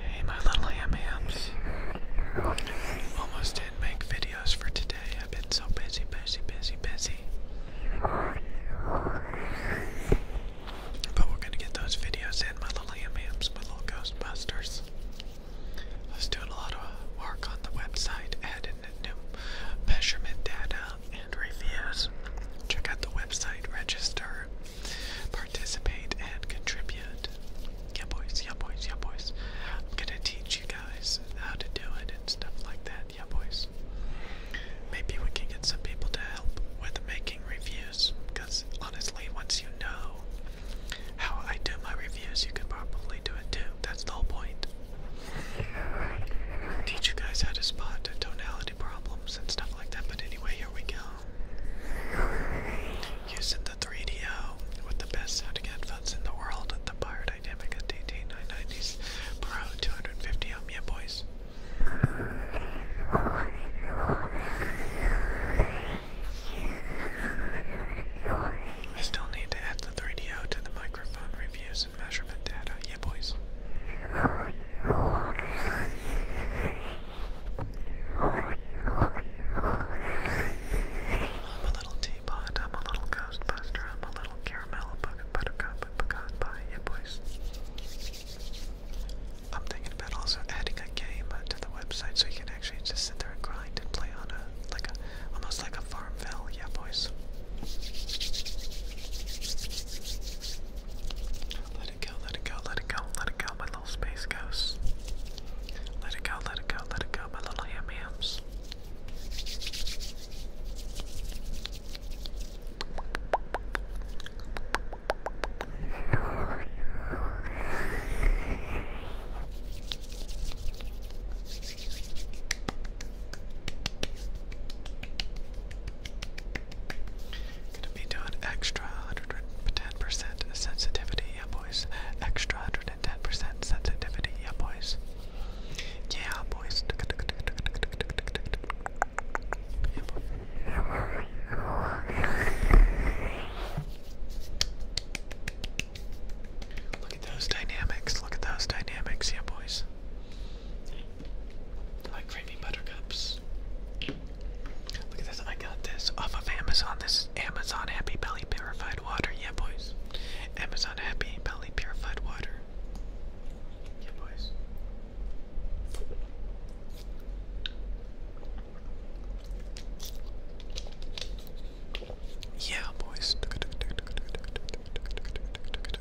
Hey my little yams. Almost didn't make videos for today. I've been so busy, busy, busy, busy. But we're gonna get those videos in, my little yams, my little Ghostbusters. I was doing a lot of work on the website, adding new measurement data and reviews. Check out the website, register, participate and contribute. Yeah, boys, yeah, boys, yeah, boys. I'm gonna teach you guys how to do it and stuff like that, yeah, boys. Maybe we can get some people to help with making reviews, because honestly, once you know how I do my reviews, you can probably do it too. That's the whole point. Teach you guys how to spot tonality problems and stuff like that, but anyway, here we go. Using the 3DO with the best sounding headphones in the world, at the Biodynamic DT990s Pro 250 ohm, yeah boys. I still need to add the 3DO to the microphone reviews and measurement data, yeah boys. I'm a little teapot, I'm a little ghostbuster, I'm a little caramel buttercup and pecan pie, yeah boys. I'm thinking about also adding a game to the website so you can actually just sit there and grind and play on a like a almost like a farmville, yeah boys. Let it let it go, let it go, let it go, my little space ghosts. Let it go, let it go, let it go, my little ham hams. Gonna be doing extra 110% sensitivity, yep, boys. Extra 110% sensitivity, yep, boys. Yeah, boys. Look at those dynamics. Look at those dynamics, yeah, boys like creamy buttercups. Look at this, I got this off of Amazon. This Amazon Happy Belly Purified Water. Yeah, boys. Amazon Happy Belly Purified Water. Yeah, boys. Yeah, boys.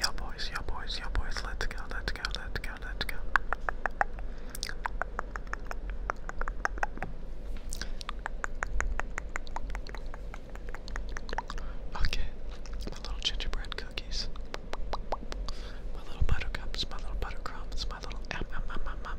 Yo boys, yo boys, yo boys, let's go, let's go, let's go, let's go. Okay, my little gingerbread cookies, my little buttercups, my little buttercrumbs, my little um, um, um,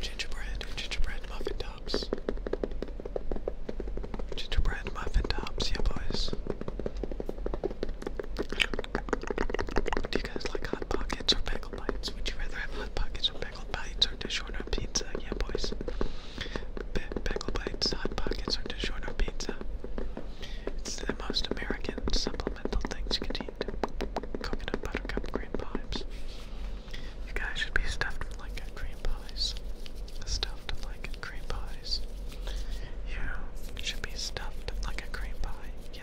Gingerbread, gingerbread muffin tops. Gingerbread muffin tops, yeah, boys. Do you guys like hot pockets or bagel bites? Would you rather have hot pockets or Bagel bites are DiGiorno pizza. Yeah, boys. B bites, hot pockets are DiGiorno pizza. It's the most American supplemental things you Coconut buttercup cream pies. You guys should be stuffed with like cream pies. Stuffed like cream pies. You should be stuffed like a cream pie. Yeah,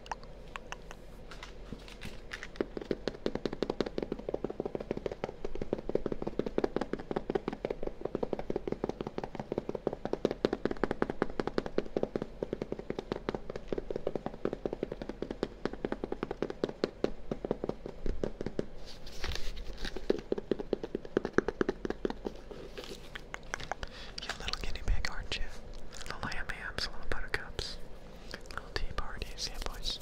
You little guinea pig, aren't you? Little lamb hams, little buttercups. Little tea parties, yeah, boys.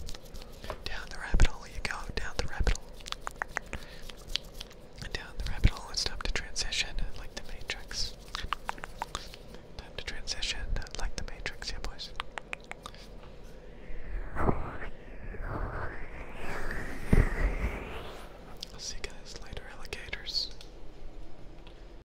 Down the rabbit hole you go, down the rabbit hole. And down the rabbit hole, it's time to transition, like the Matrix. Time to transition, like the Matrix, yeah, boys. see you guys later, alligators.